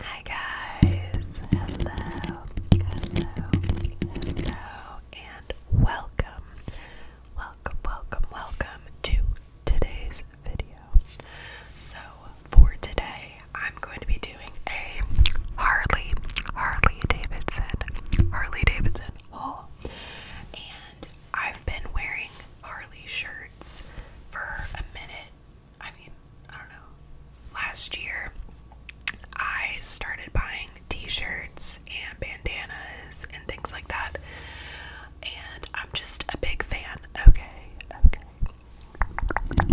Hi guys, hello, hello, hello, and welcome, welcome, welcome, welcome to today's video. So for today, I'm going to be doing a Harley, Harley Davidson, Harley Davidson haul, and I've been wearing Harley shirts for a minute I mean, I don't know. Last year, I started buying t shirts and bandanas and things like that. And I'm just a big fan. Okay, okay.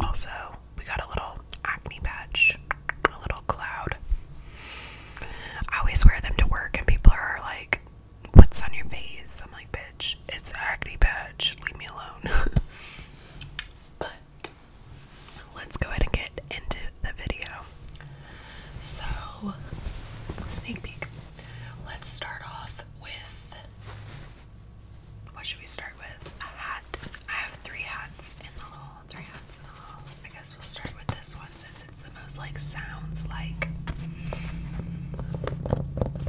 Also, we got a little acne patch, a little cloud. I always wear them to work, and people are like, what's on your face? I'm like, bitch, it's an acne patch. Leave me alone. but let's go ahead and get into the video. So, sneak peek. Let's start off with what should we start with? A hat. I have three hats in the hall. Three hats in the hall. I guess we'll start with this one since it's the most like sounds like.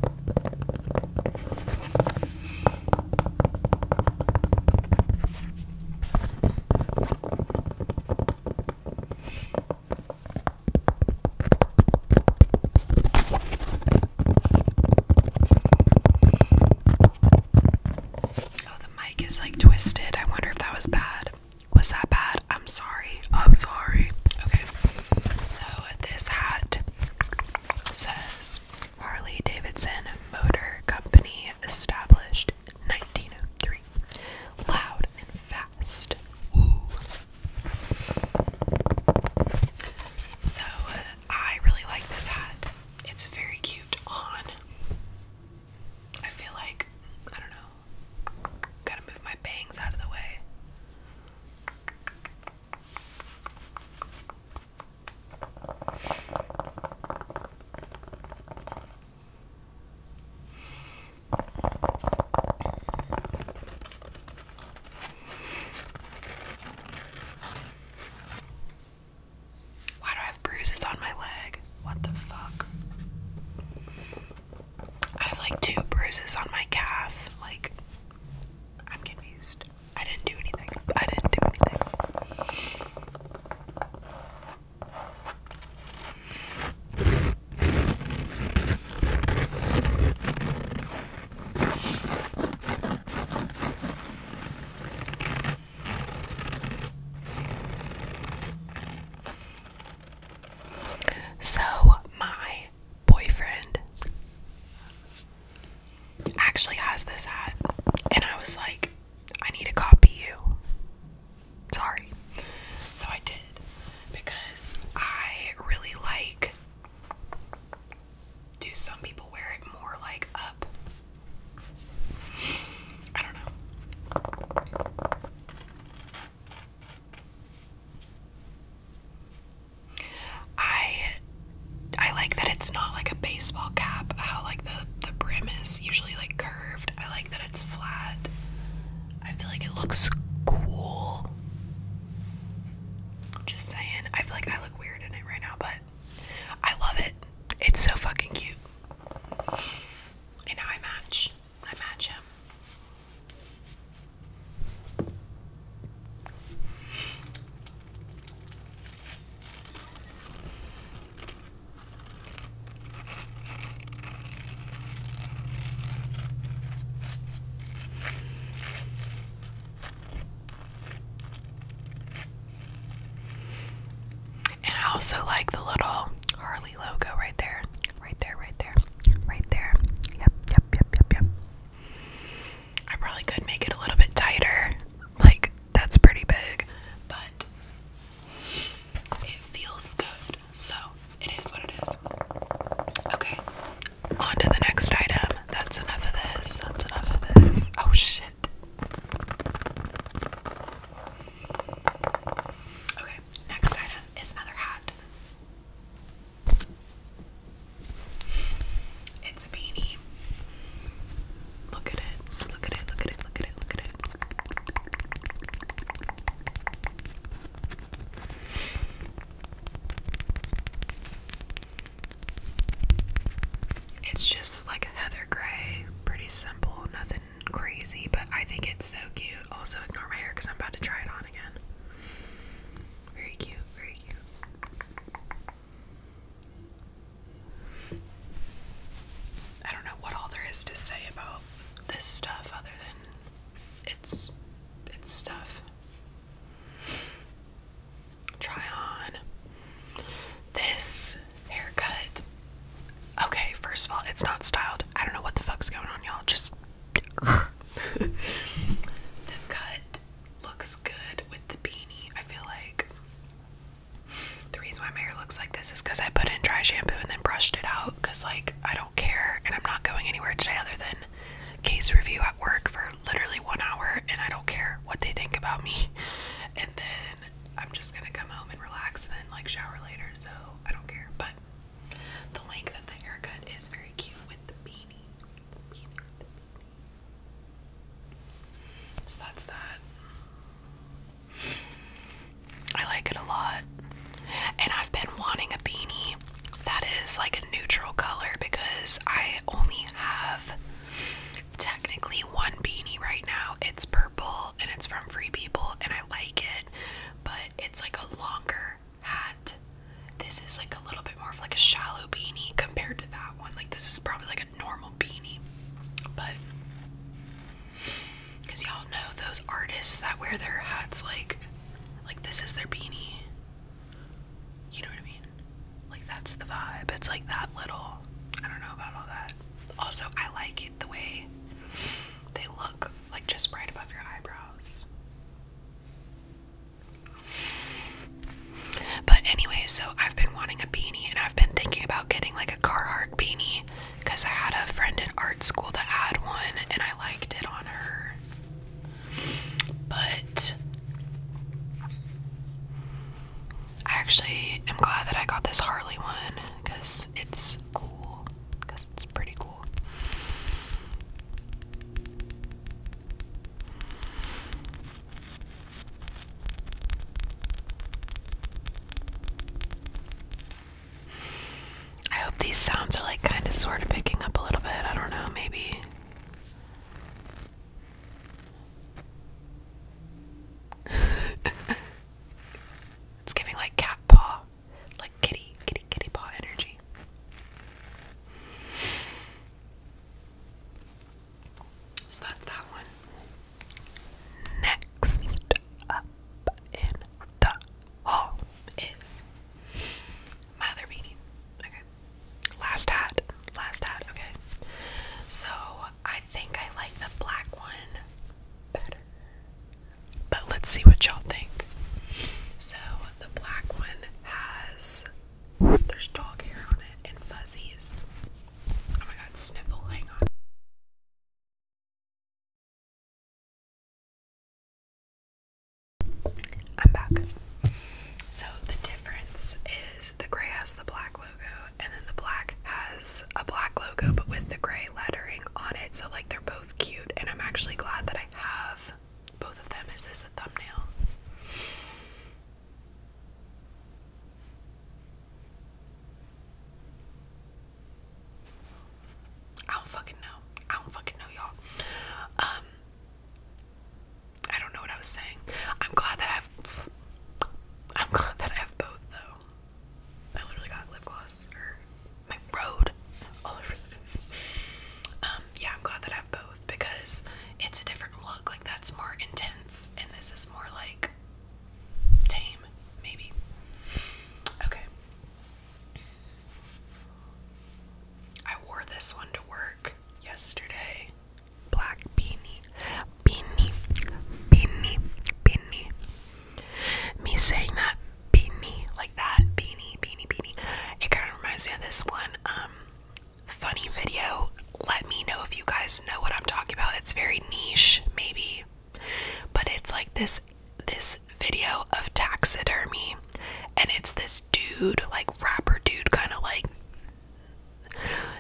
Oh, the mic is like twisted. I wonder if that was bad. Was that bad? I'm sorry. Oh, I'm sorry. Okay. So this hat says Harley Davidson Motor Company established 1903. Loud and fast. Ooh. So I really like this hat. It's very cute on. I feel like, I don't know, gotta move my bangs out of the way. Why do I have bruises on my leg? What the fuck? I have like two bruises on my calf. Like, I'm confused. I didn't do anything. I didn't do anything. So, my boyfriend actually has this hat, and I was like, I need to copy you. Sorry. So I did because I really like. Do some people wear it more like up? I don't know. I I like that it's not like a baseball cap, how like the the brim is usually like curved. I like that it's flat. I feel like it looks cool. Just saying. I feel like I look weird in it right now, but I love it. It's so fucking cute. And I match. I match him. And I also like the little Harley logo right there. Right there, right there right there. Yep, yep, yep, yep, yep. I probably could make it a little bit tighter. Like, that's pretty big, but it feels good. So, it is what it is. Okay, on to the next item. That's enough of this. That's enough of this. Oh, shit. Okay, next item is another hat. It's a beanie. Look at it. Look at it. Look at it. Look at it. Look at it. It's just like a heather gray. Pretty simple. Nothing crazy, but I think it's so cute. Also, ignore my hair because I'm about to try it on again. Very cute, very cute. I don't know what all there is to say about this stuff other than it's it's stuff. Try on this haircut. Okay, first of all, it's not styled. I don't know what the fuck's going on, y'all. Just the cut looks good with the beanie. I feel like the reason why my hair looks like this is because I put in dry shampoo and then brushed it out because, like, I don't care and I'm not going anywhere today other than case review at work for literally one hour and I don't care what they think about me. And then I'm just gonna come home and relax and then, like, shower later, so I don't care. But the length of the haircut is very cute with the beanie. the beanie. So that's that. I like it a lot. And I've been wanting a beanie that is like a neutral color because I only have technically one beanie right now. It's purple and it's from Free People and I like it, but it's like a longer hat. This is like a little bit more of like a shallow beanie compared to that one. Like this is probably like a normal beanie. But cuz y'all know those artists that wear their hats like like this is their beanie. You know what I mean? Like that's the vibe. It's like that little. I don't know about all that. Also, I like it the way they look like just right above your eyebrows. But anyway, so I've been wanting a beanie and I've been thinking about getting like a Carhartt beanie because I had a friend in art school that had one and I liked it on her. But I actually am glad that I got this Harley one because it's cool. Because it's pretty cool. I hope these sounds are like kind of sort of picking up a little bit. I don't know, maybe. it's giving like cat paw. Like kitty, kitty, kitty paw energy. So that's that one. Next up in the haul is my other beanie. Okay. Last hat. Last hat, okay. So I think I like the black one better. But let's see what y'all think. So the black one has there's dog hair on it and fuzzies. Oh my god, sniffle, hang on. I'm back. So the difference is the gray has the black logo and then the black has a black logo but with the gray lettering on it. So like they're both cute and I'm actually glad that I have both of them. Is this a thumbnail? I don't fucking know. I don't fucking know, y'all. Um, I don't know what I was saying. I'm glad that I've. I'm glad that I have both, though. I literally got lip gloss my road all over the um, yeah, I'm glad that I have both because it's a different look. Like that's more intense, and this is more like tame, maybe. Okay. I wore this one to work yesterday. Black beanie, beanie, beanie, beanie, me saying that beanie, like that beanie, beanie, beanie. It kind of reminds me of this one um, funny video. Let me know if you guys know what I'm talking about. It's very niche, maybe, but it's like this this video of taxidermy, and it's this dude, like rapper dude, kind of like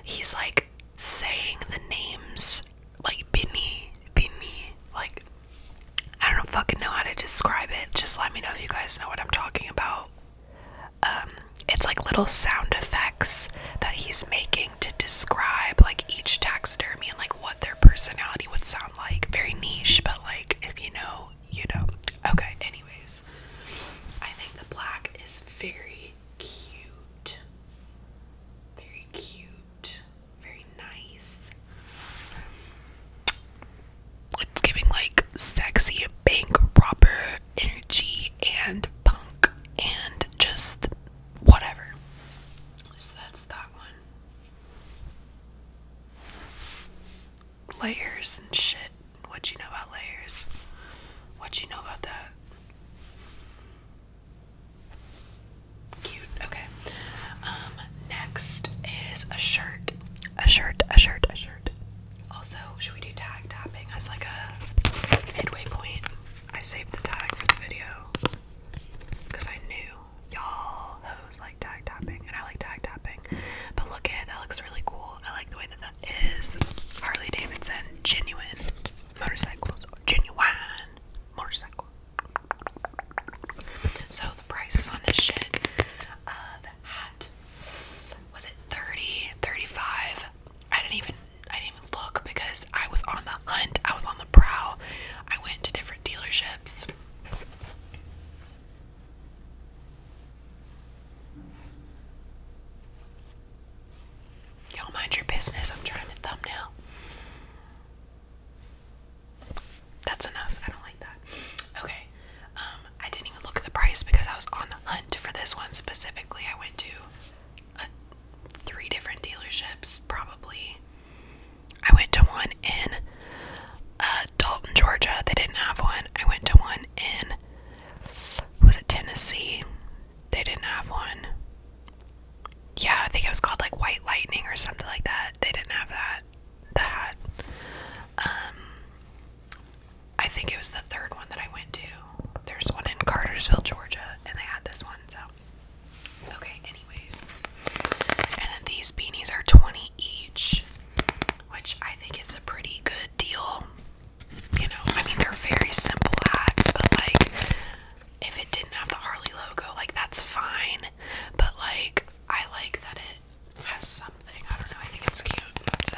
he's like saying the names like beanie beanie like I don't fucking know how to describe it. Just let me know if you guys know what I'm talking about. Um, it's like little sound effects that he's making to describe like each taxidermy and like what their personality would sound like. Very niche, but like if you know, you know. Okay, anyways. I think the black is very cute. Very cute very nice. It's giving like sexy bank robber energy and punk and just whatever. So that's that one. Layers and shit. What you know about layers? What you know about that? Cute. Okay. Um, next is a shirt. A shirt, a shirt, a shirt. Also, should we do tag tapping as like a midway point? I saved the tag for the video because I knew y'all hoes like tag tapping and I like tag tapping. But look at that looks really cool. I like the way that that is. Harley Davidson, genuine motorcycles, genuine motorcycles. So the prices on this shit, uh, hat was it 30, 35? I didn't even I didn't look because I was on the hunt. I was on the prowl. I went to different dealerships. Y'all mind your business. I'm trying to thumbnail. That's enough. I don't like that. Okay. Um, I didn't even look at the price because I was on the hunt for this one specifically. I went to three different dealerships, probably. I went to one in uh, Dalton, Georgia. They didn't have one. I went to one in, was it Tennessee? They didn't have one. Yeah, I think it was called like White Lightning or something like that. They didn't have that that. Um, I think it was the third one that I went to. There's one in Cartersville, Georgia, and they had this one, so. Okay, anyways. And then these beanies are 20 each, which I think is a pretty good deal. You know, I mean, they're very simple hats, but like, if it didn't have the Harley logo, like, that's fine. But like, I like that it has something. I don't know, I think it's cute. So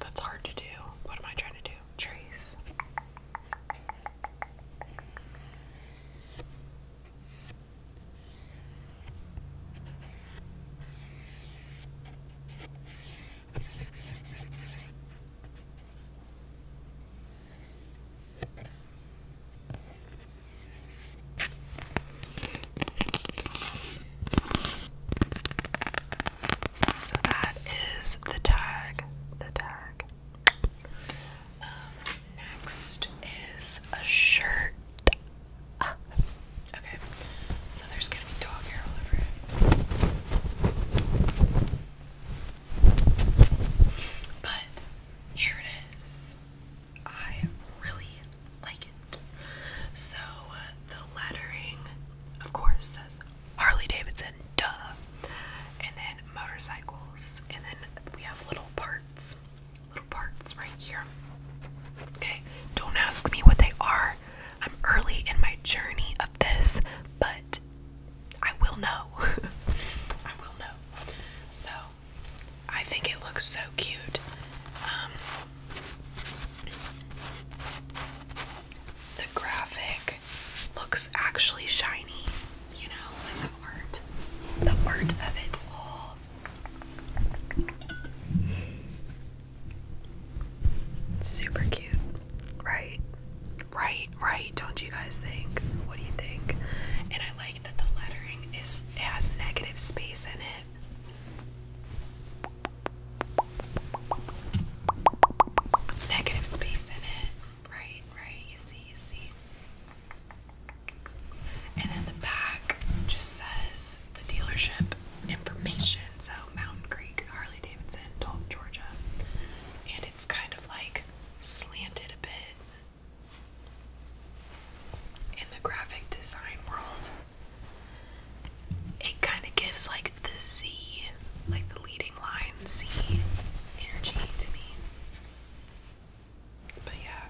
That's hard to do. What am I trying to do? Trees. So that is the tag. The tag. Um, next is a shirt. Okay, so there's gonna be dog hair all over it. But here it is. I really like it. So uh, the lettering, of course, says Harley Davidson, duh, and then motorcycles, and then we have little parts, little parts right here. Okay, don't ask me what they are. I'm early in my journey of this, but I will know. I will know. So I think it looks so cute. Um, the graphic looks actually shiny, you know, and the art, the art of it Super cute, right? Right, right. Don't you guys think? What do you think? And I like that the lettering is has negative space in it. Negative space in it. Right, right, you see, you see. And then the back just says the dealership information. So Mountain Creek, Harley Davidson, Dalton, Georgia. And it's kind of like slanted a bit in the graphic design world, it kind of gives like the Z, like the leading line Z energy to me. But yeah,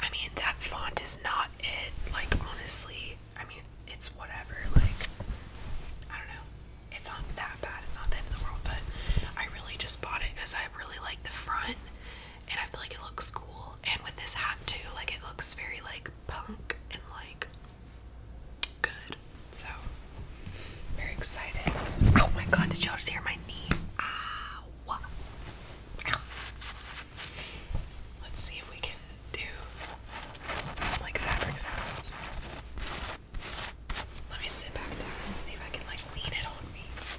I mean, that font is not it, like, honestly. I mean, it's whatever, like, I don't know. It's not that bad, it's not that end of the world, but I really just bought it because I really like the front and I feel like it looks cool. And with this hat too, like it looks very like punk and like good. So very excited. Oh my god, did y'all just hear my knee? Ow. Ow. Let's see if we can do some like fabric sounds. Let me sit back down and see if I can like lean it on me.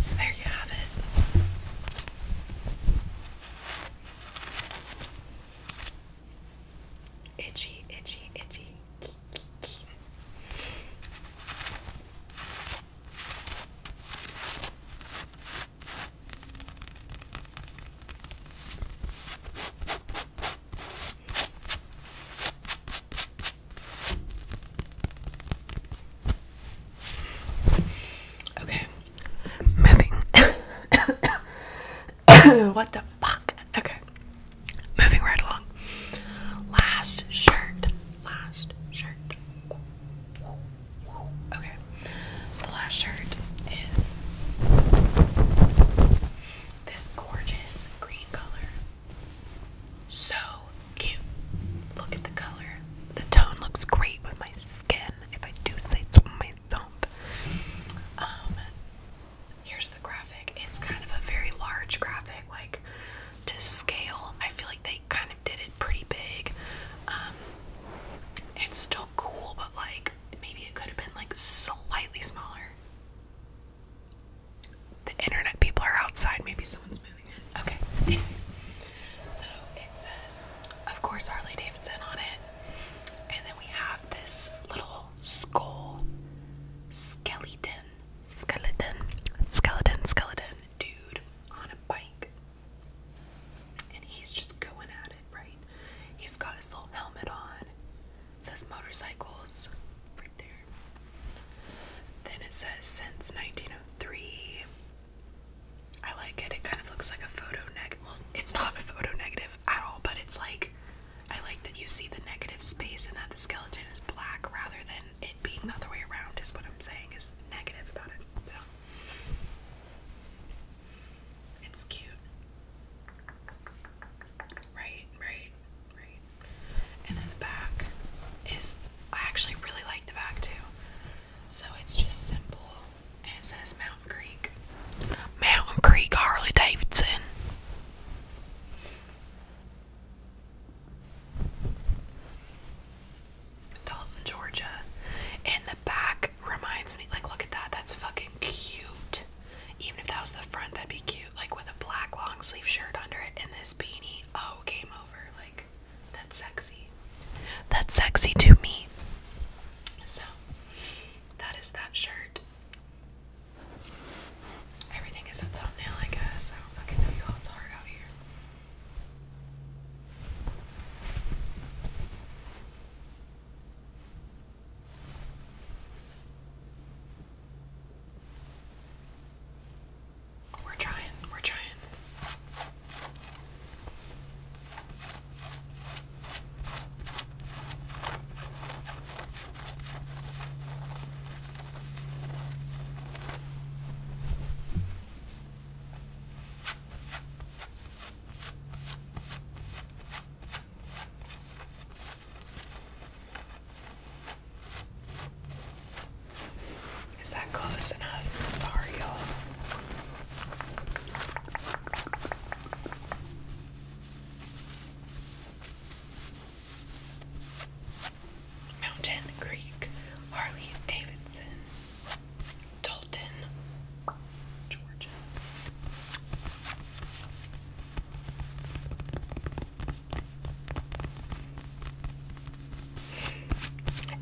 So there you have it. Itchy, itchy, itchy. Okay, moving. what the fuck? Okay, Moving right along. Last shirt. Last shirt. Okay. The last shirt is this gorgeous green color. So cute. Look at the color. The tone looks great with my skin, if I do say so myself. Um, Here's the graphic. It's kind of a very large graphic, like to scale. I feel like they kind of did it pretty big. Um, it's still cool, but like maybe it could have been like slightly smaller. The internet people are outside. Maybe someone's moving in. Okay. Anyways, so it says, of course, Harley Davidson on it, and then we have this little skull, skeleton, skeleton, skeleton, skeleton dude on a bike. And he's just going at it, right? He's got his little helmet on. says motorcycles right there. Then it says since 1903. I like it. It kind of looks like a photo negative. Well, it's not a photo negative at all, but it's like I like that you see the negative space and that the skeleton is black rather than it being the other way around, is what I'm saying, is negative about it. So it's cute. Right, right, right. And then the back is, I actually really like the back too. So it's just simple and it says Mountain Green Mountain Creek Harley Davidson. Dalton, Georgia. And the back reminds me, like, look at that. That's fucking cute. Even if that was the front, that'd be cute. Like, with a black long sleeve shirt under it and this beanie. Oh, game over. Like, that's sexy. That's sexy to me. So, that is that shirt. Everything is a thumbnail, I guess. I don't fucking know you It's hard out here. We're trying, we're trying. Is that close enough? Sorry, y'all. Mountain Creek, Harley Davidson, Dalton, Georgia.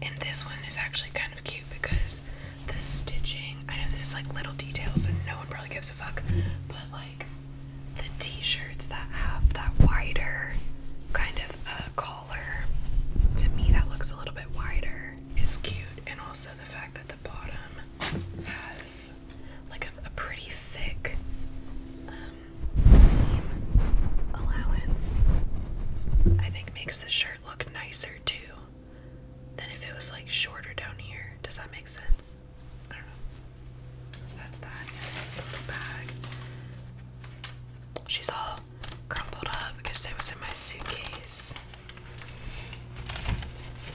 And this one is actually kind of cute because the stitching, I know this is like little details and no one probably gives a fuck, but like the t-shirts that have that wider kind of a uh, collar. To me that looks a little bit wider is cute and also the fact that the bottom has like a, pretty thick um, seam allowance I think makes the shirt look nicer too than if it was like shorter down here. Does that make sense? She's all crumpled up because it was in my suitcase.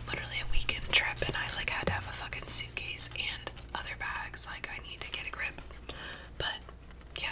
Literally a weekend trip, and I like had to have a fucking suitcase and other bags. Like I need to get a grip. But yeah,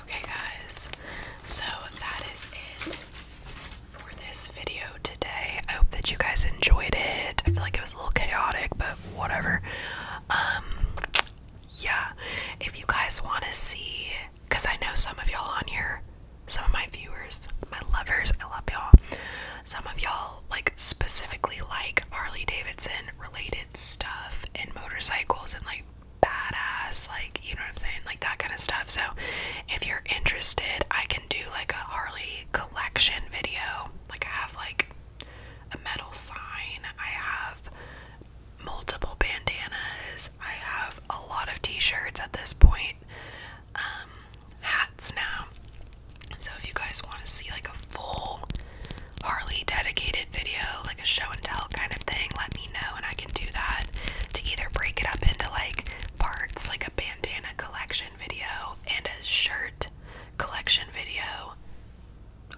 Okay, guys, so that is it for this video today. I hope that you guys enjoyed it. I feel like it was a little chaotic, but whatever. Um, yeah, if you guys want to see, because I know some of y'all on here, some of my viewers, my lovers, I love y'all. Some of y'all like specifically like Harley Davidson related stuff and motorcycles and like badass, like you know what I'm saying, like that kind of stuff. So if you're interested, I can do like a Harley collection video. Like I have like a metal sign, I have multiple bandanas, I have a lot of t-shirts at this point, um, hats now. So if you guys want to see like a full Harley dedicated video, like a show and tell kind of thing, let me know and I can do that to either break it up into like parts like a bandana collection video and a shirt collection video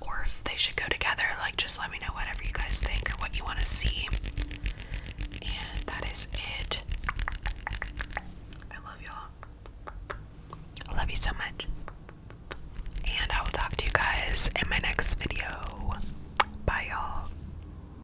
or if they should go together like just let me know whatever you guys think or what you want to see and that is it i love y'all i love you so much and i will talk to you guys in my next video bye y'all